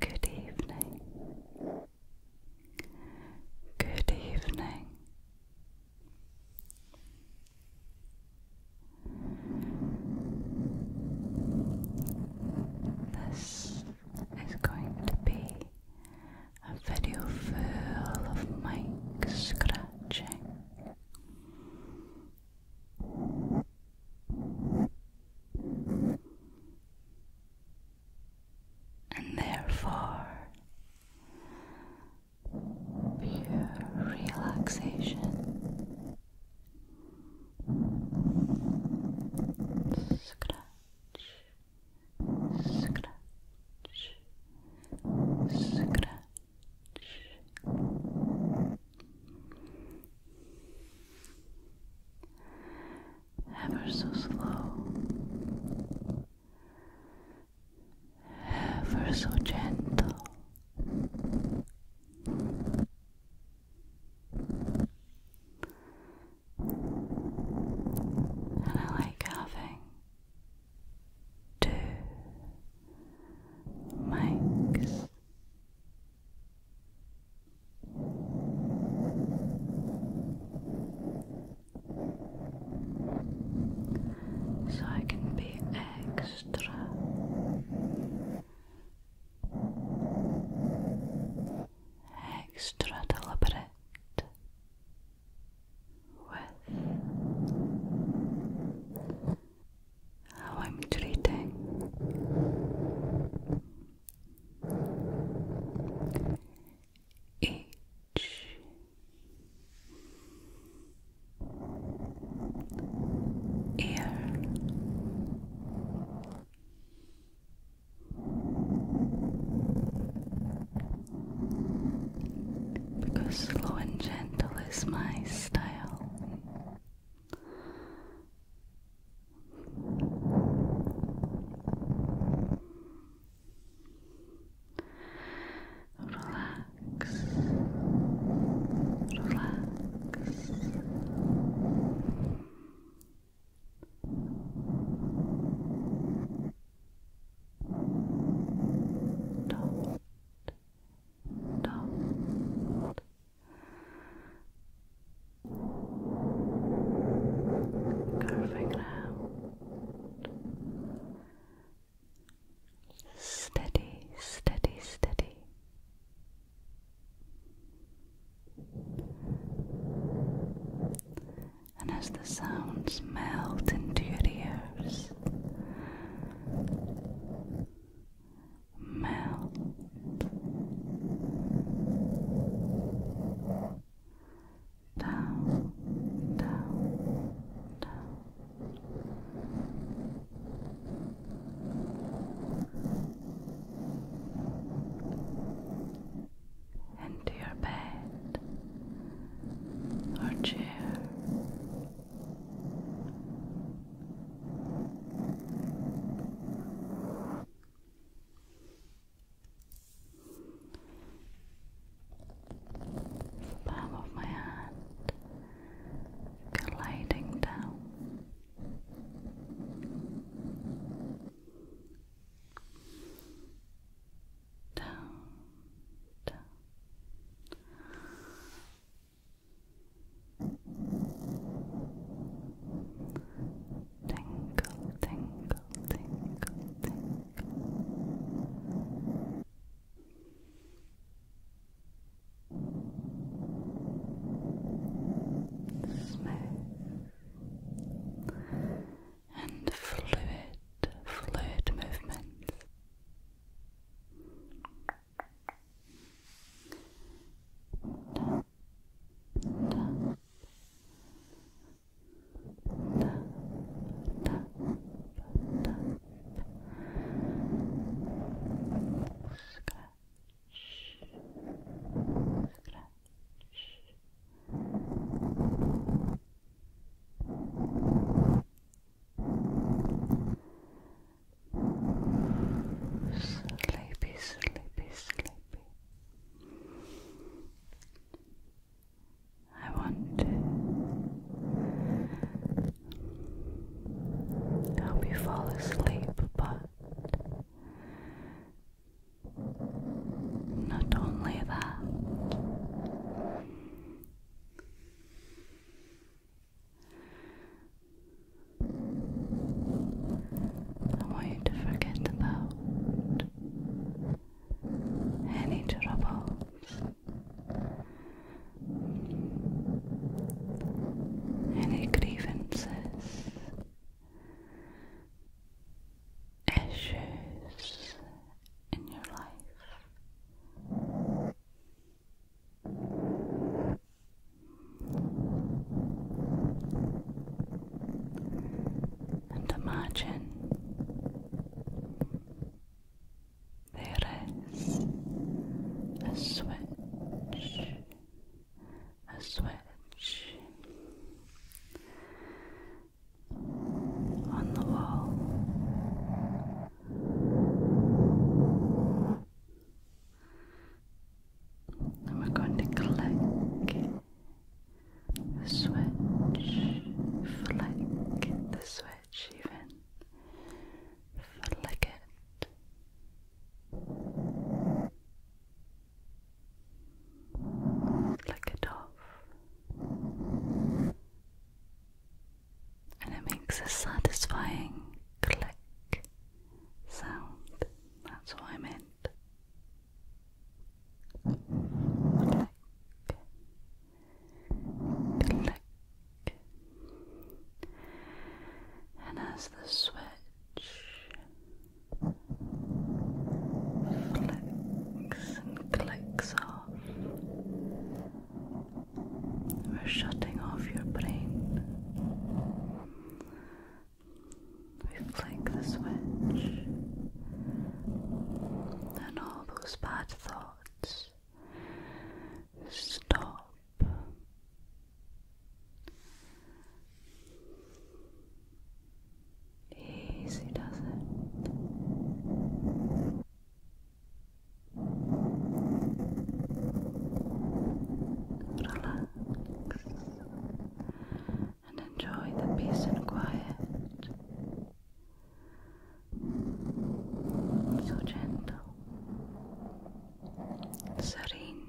Good evening. Good evening. This is going to be a video full of mic scratching and therefore, pure relaxation. Scratch, scratch, scratch, ever so slow, ever so gentle. And I like having to mics. So I can be extra extra deliberate with how I'm treating each ear because slow and gentle is my style. Relax, relax dot, dot. Curving round. Steady, steady, steady and as the sounds melt into your ears, melt, down, down, Into your bed, our chair. Palm of my hand gliding down down, down. Tingle, tingle, tingle, tingle. Smooth and fluid, fluid movements. Sleepy, sleepy, sleepy. I want to help you fall asleep, but not only that, I want you to forget about any troubles. Any grievances, issues in your life. And imagine there is a switch, a switch on the wall. And we're going to click the switch, flick the switch, even flick it. Flick it off and it makes a satisfying click sound. That's what I meant. Click. Click. And as the switch clicks and clicks off. We're shutting off your brain. We flick the switch, and all those bad thoughts stop. Easy does it. Relax and enjoy the peace and quiet. So gentle, serene.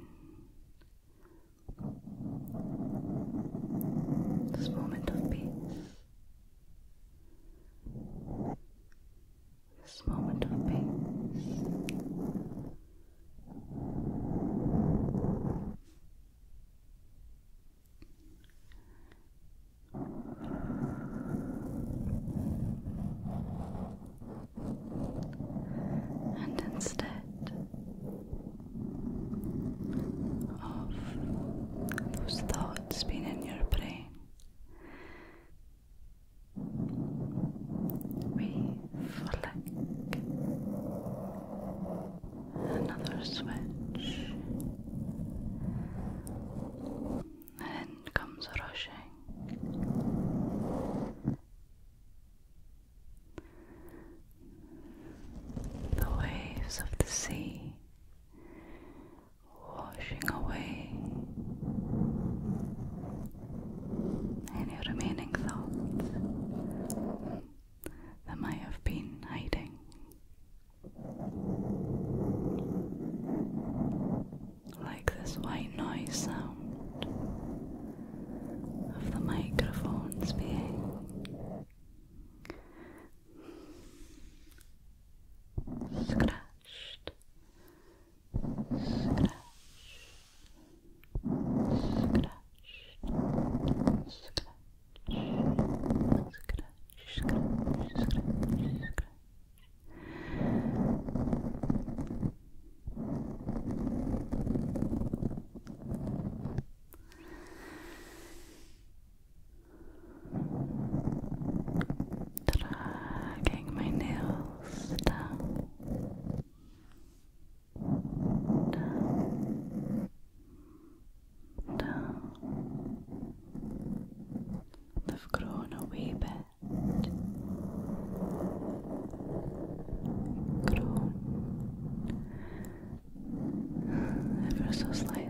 This moment of peace this moment of peace. And instead of those thoughts being in your brain. We flick another switch, and comes rushing. The waves of the sea washing away any remaining thoughts that might have been hiding. Like this white noise sound of the microphones being scratched, scratched, scratched, scratched, scratch, scratch, scratch, scratch. Dragging my nails down, down, down. They've grown a wee bit, grown ever so slightly.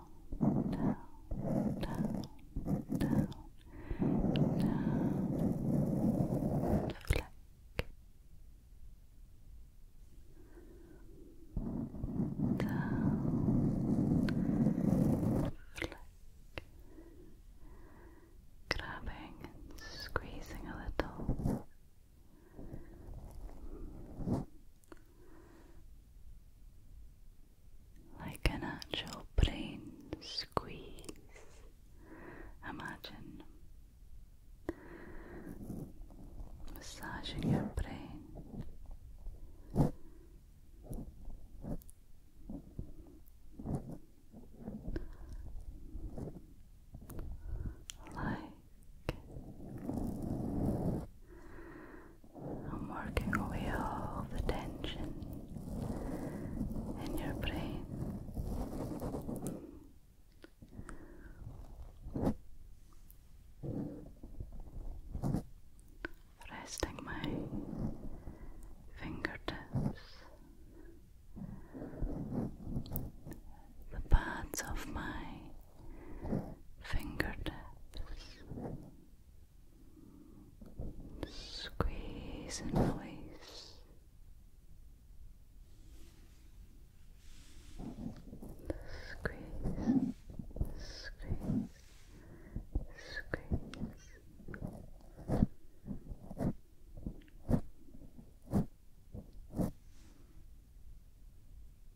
down, down, down, down, down, Down, flick. Grabbing and squeezing a little like an actual brain squeeze. Imagine massaging your brain. Like I'm working away all the tension in your brain. Resting my fingertips, the pads of my fingertips Squeeze in place. squeeze, squeeze. Squeeze,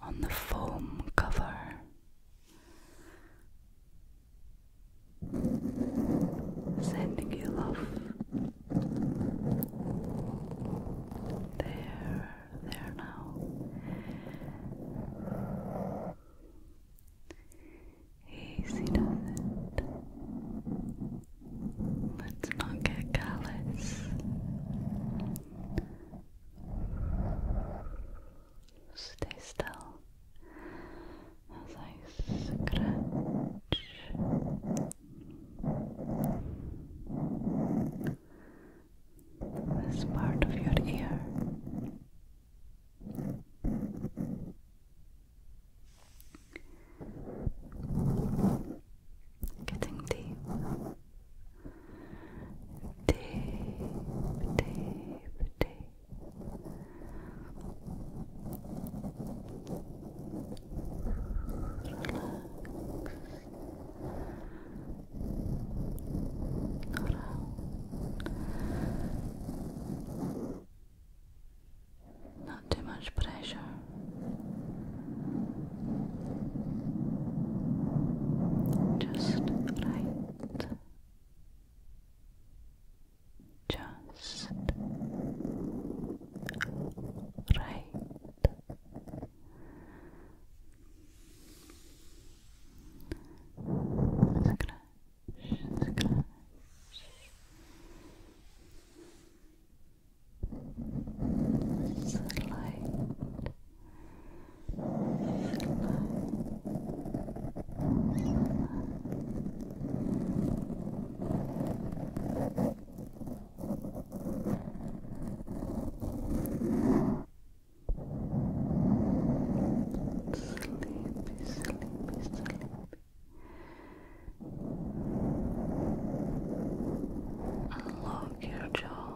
on the foam cover. Sending you love. There, there now. Easy does it. Let's not get callous. Stay still as I scratch. This part of your ear. Getting deep, deep, deep, deep. Not too much pressure. Just right. Just right. Light. Light. Sleepy, sleepy, sleepy. Unlock your jaw.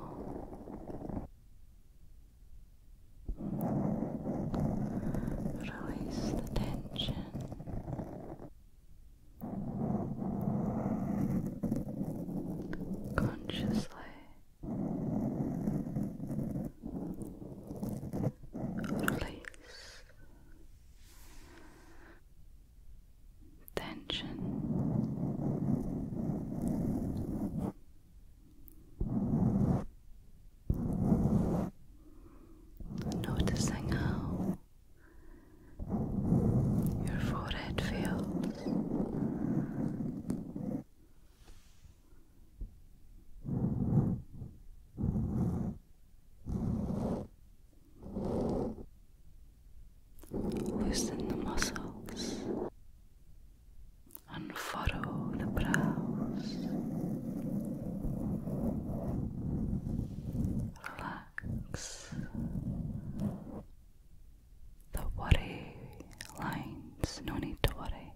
Release the tension. Consciously release tension. Noticing how your forehead feels. Loosen the muscles. Unfurrow the brows. Relax. The worry lines, no need to worry.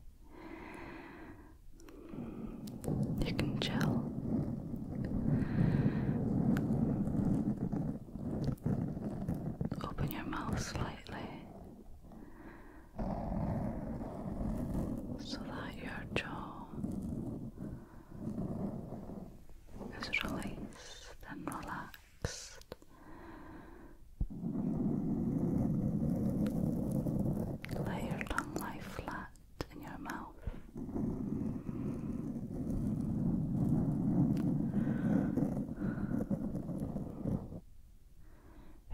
You can chill. Open your mouth slightly so that your jaw is released and relaxed. Let your tongue lie flat in your mouth.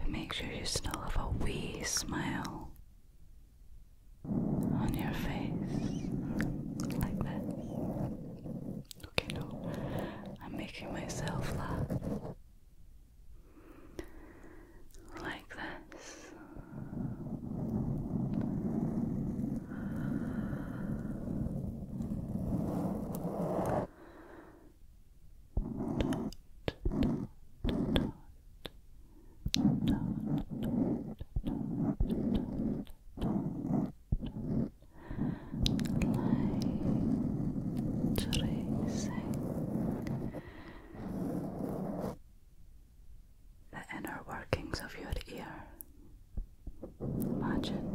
make sure you still have a wee smile on your face, like this. Okay, no, I'm making myself laugh like this. Light racing the inner workings of your ear. Imagine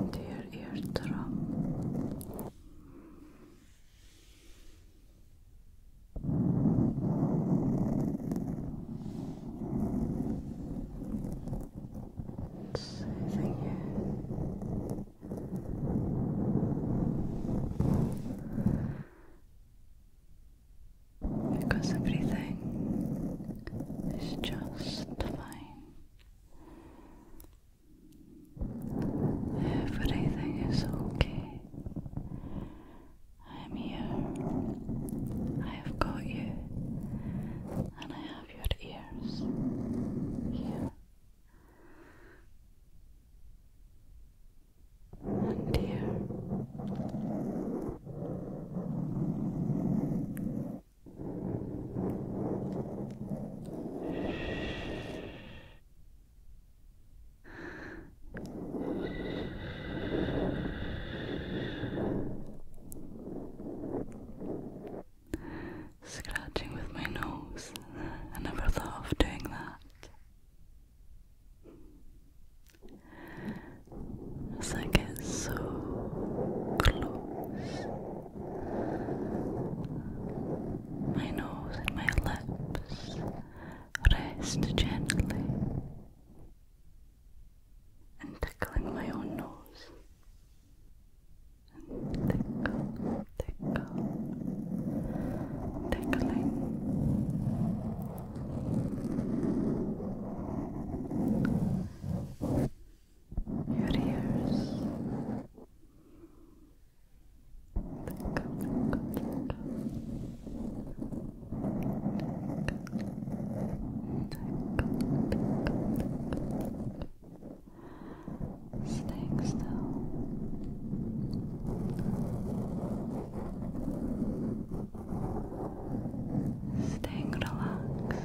into your eardrum. Soothing you because everything is just fine. Everything is okay. I am here. I have got you. And I have your ears here and here. Scratching with my nose. I never thought of doing that. As I get so close, my nose and my lips rest gently and tickling my own nose and tickle tickle, tickling. Your ears. Tickle, tickle, tickle. Tickle, tickle, Stay still. Stay relaxed.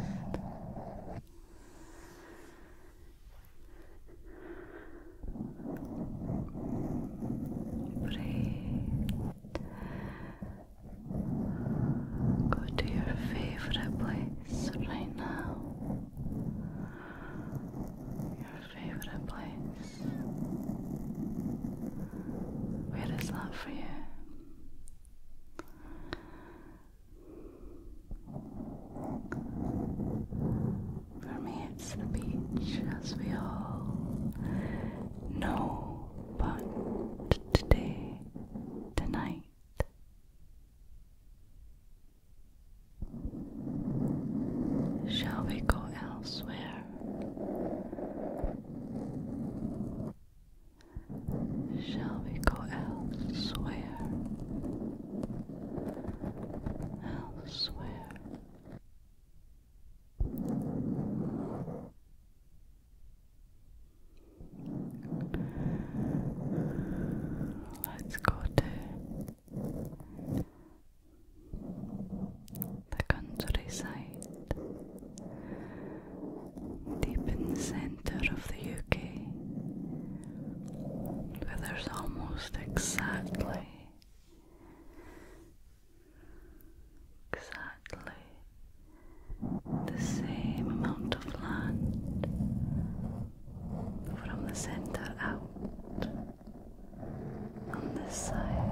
Breathe. Go to your favorite place right now favorite place? Where is that for you? For me, it's the beach, as we all know, but today, tonight, Shall we go elsewhere? Shall we go elsewhere? Elsewhere. Let's go to the countryside deep in the centre of the UK where there's almost exactly exactly the same amount of land from the center out on this side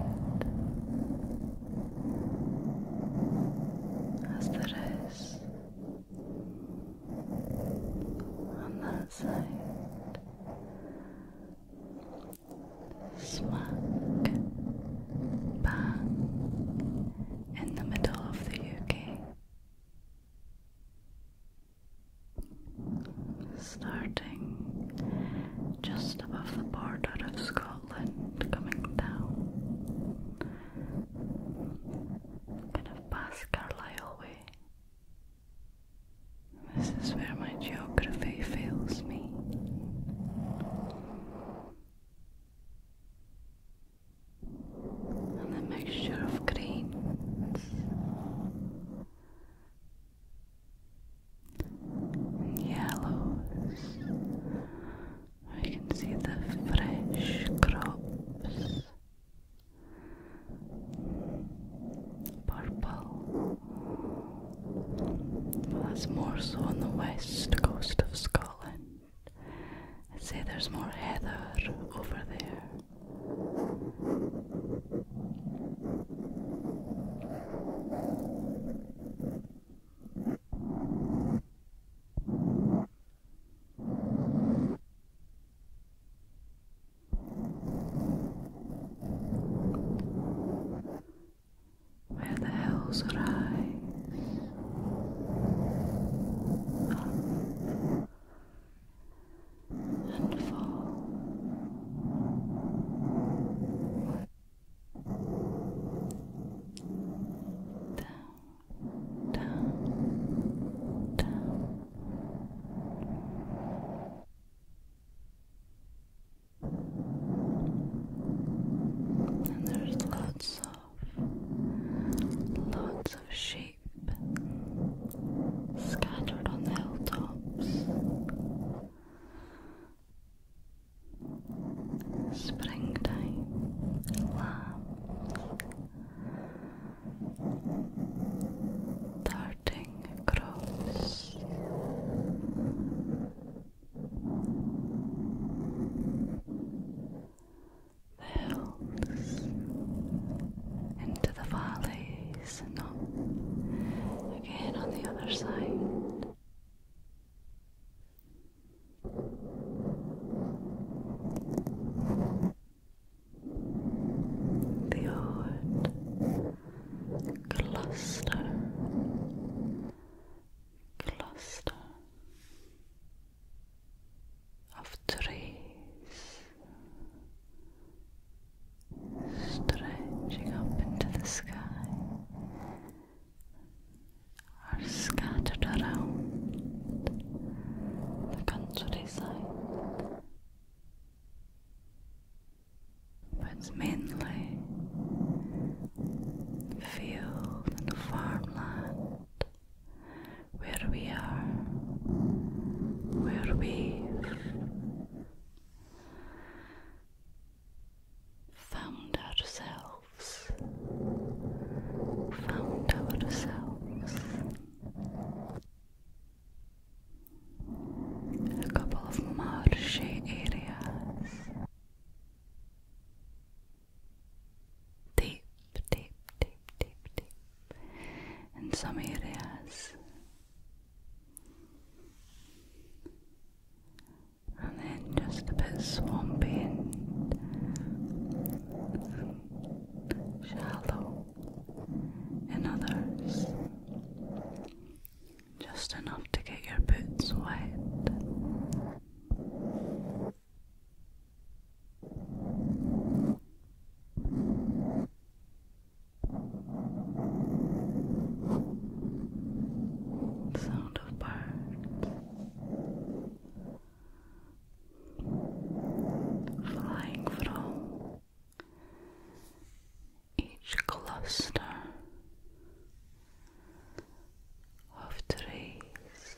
as there is on that side smack bang in the middle of the UK starting just above the border of Scotland, coming down kind of past Carlisle Way. This is where my geography fails me. And the mixture of greens and yellows. We can see the fresh crops. Purple. Well, that's more so on the west coast of Scotland. I'd say there's more heather over there. Where the hills rise up ah and fall down, down, down. And there's lots of lots of shapes scattered on the hilltops. Springtime lambs darting across. The hills into the valleys and again on the other side. The odd cluster, cluster of trees stretching up into the sky are scattered around the countryside. But mainly field and farmland where we are, where we found ourselves, found ourselves. A couple of marshy areas, deep deep, deep, deep, deep in some areas. And then just a bit swampy and shallow in others. Just enough to get your boots wet sound of birds flying from each cluster of trees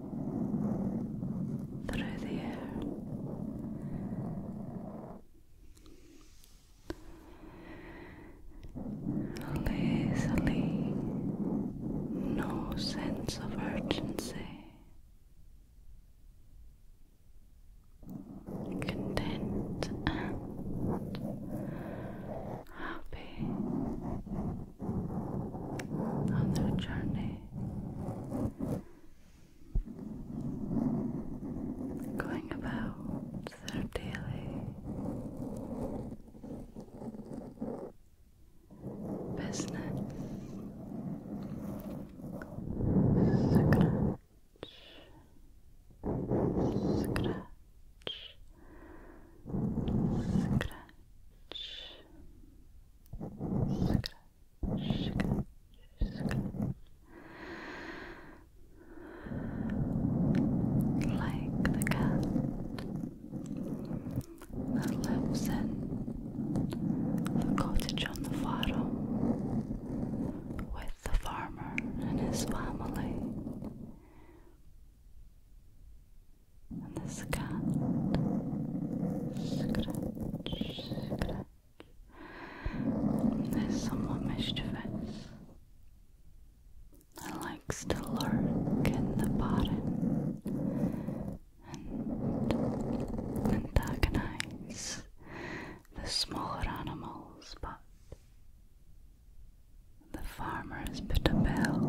through the air. Lazily, no sense of urgency, content happy on their journey going about their daily business. Scratch, scratch, scratch, scratch. Like the cat that lives in the cottage on the farm with the farmer and his family. And this cat scratch, clutch. Is somewhat mischievous likes to lurk in the bottom and antagonize the smaller animals, but the farmer has put a bell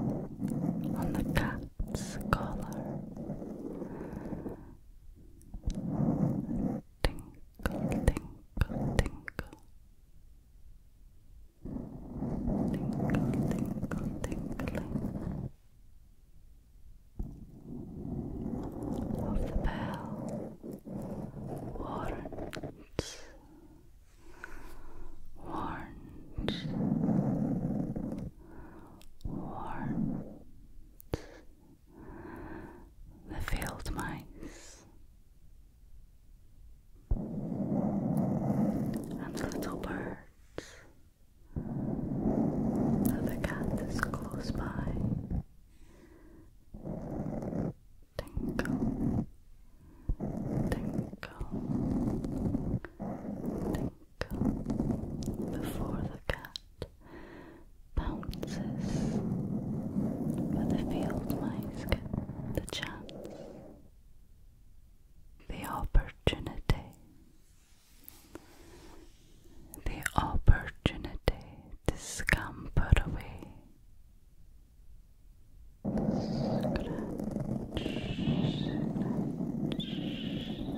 on the cat's collar Tinkle, tinkle, tinkle. Tinkle, tinkle, tinkling. Of the bell warrants, warrants, warmth. The field mice and the little birds. Another cat is close by. tinkle, tinkle before the cat pounces, but the field mice get the chance, the opportunity, the opportunity to scamper away. Scratch, scratch,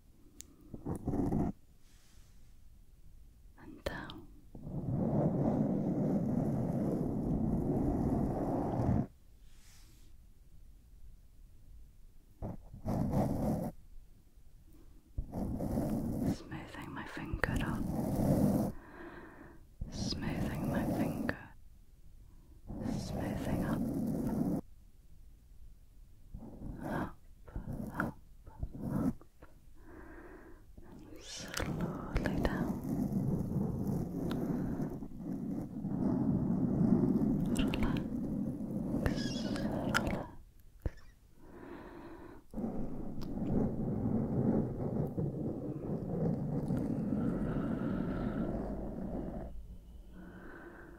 and down. Smoothing my finger up, smoothing my finger, smoothing up, up, up, up, and slowly down.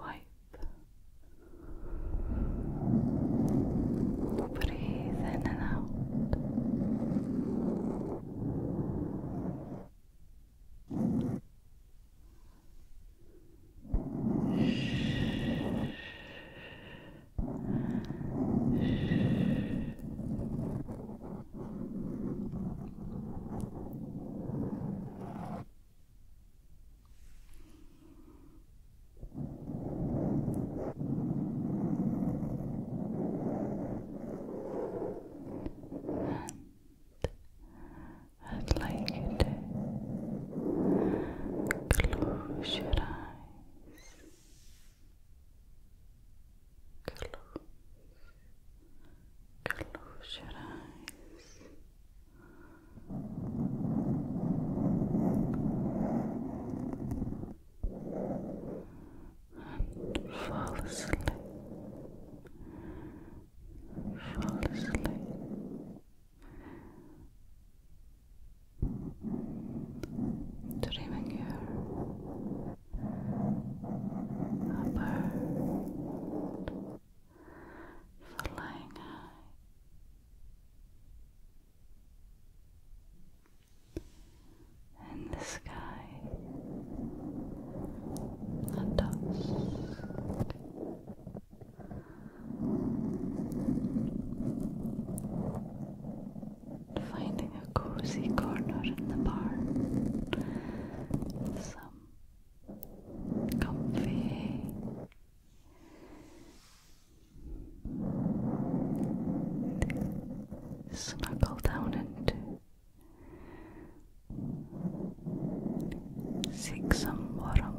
Wipe. Breathe in and out. Shh. Shh. I'd like to close your eyes. Close. Close your eyes. And fall asleep. Fall asleep. Dreaming here a bird flying high. In the sky, a dusk, finding a cozy corner in the barn some comfy. Snuggle down and seek some warmth.